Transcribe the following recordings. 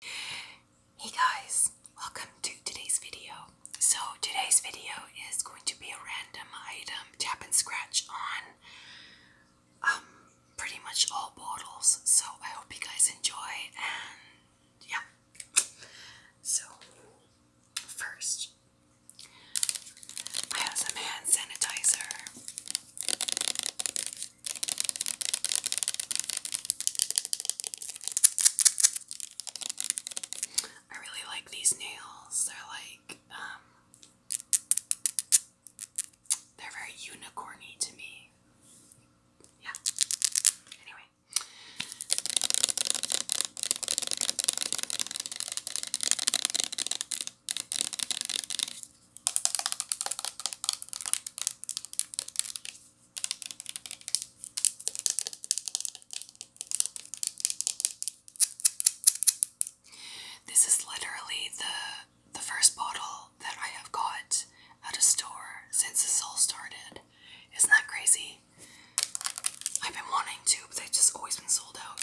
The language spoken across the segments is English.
Hey guys, welcome to today's video. So today's video is going to be a random item tap and scratch on um, pretty much all bottles. So I hope you guys enjoy and yeah. So first I have some hand sanitizer. I really like these nails. They're like, um, they're very unicorny to me. Yeah. Anyway. This is literally the the first bottle that I have got at a store since this all started. Isn't that crazy? I've been wanting to, but they've just always been sold out.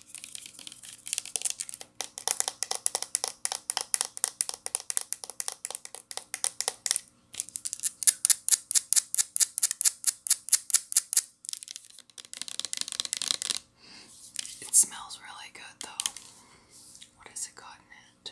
It smells really good though. What has it got in it?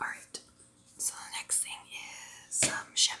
Alright, so the next thing is some um, shampoo.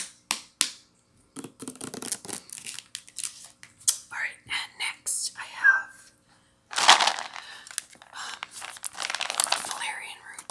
All right, and next I have um, valerian root.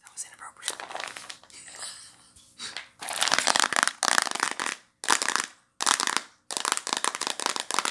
That was inappropriate.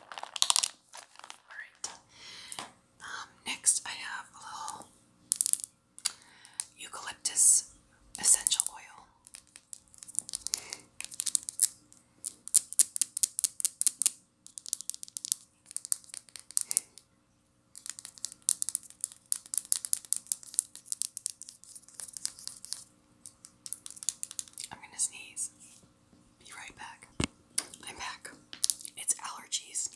Um, next, I have a little eucalyptus essential oil. I'm gonna sneeze. Be right back. I'm back. It's allergies.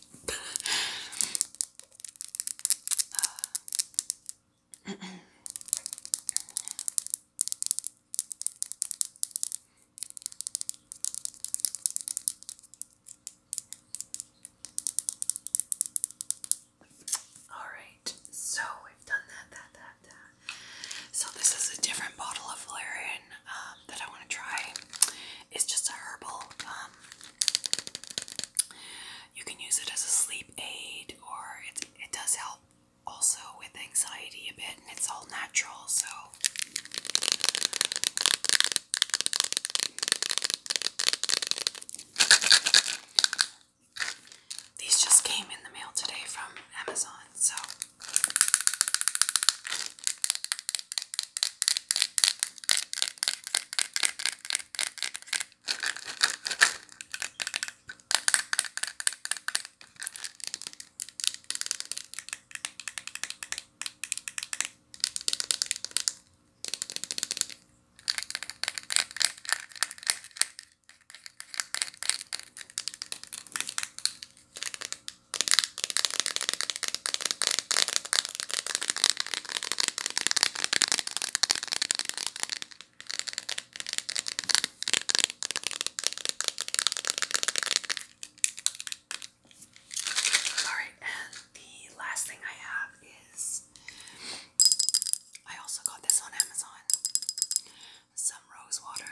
All right so we've done that, that, that, that. So this is a different bottle of valerian um, that I want to try. It's just a herbal. Um, you can use it as a sleep aid, or it it does help also with anxiety a bit, and it's all natural. So. These just came in the mail today from Amazon, so all right, and the last thing I have is I also got this on Amazon. Some rose water.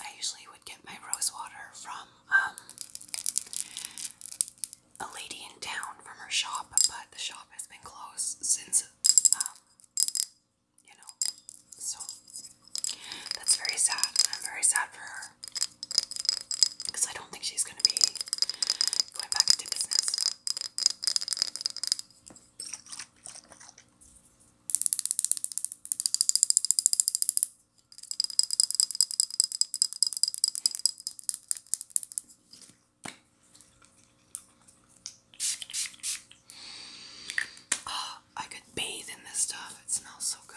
I usually would get my rose water from um, a lady in town from her shop, but the shop has been closed since um, you know. So that's very sad. I'm very sad for her because I don't think she's going to be going back into business. Oh, I could bathe in this stuff. It smells so good.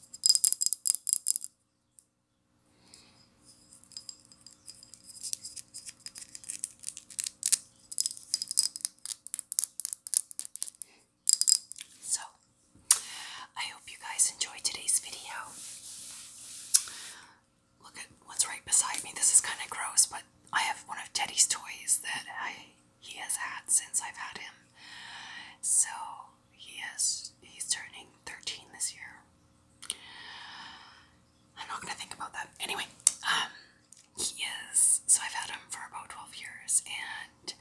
So, I hope you guys enjoyed today's video. Look at what's right beside me. This is kind of gross, but I have one of Teddy's toys that I he has had since I've had him. So he has he's turning 13 this year. I'm not gonna think about that. Anyway, um, he is so I've had him for about 12 years and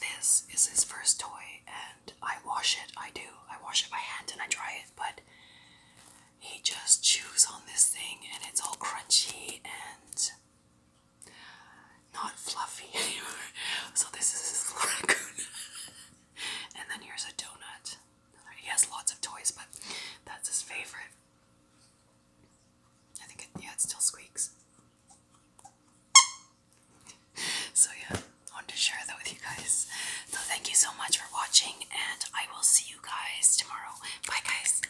this is his first toy and I wash it, I do, I wash it by hand and I dry it, but he just chews on this thing and it's all crunchy and not fluffy anymore. So this is his little raccoon. and then here's a donut. He has lots of toys, but that's his favorite. I think yeah, it still squeaks. So yeah, I wanted to share that with you guys. So thank you so much for watching, and I will see you guys tomorrow. Bye, guys.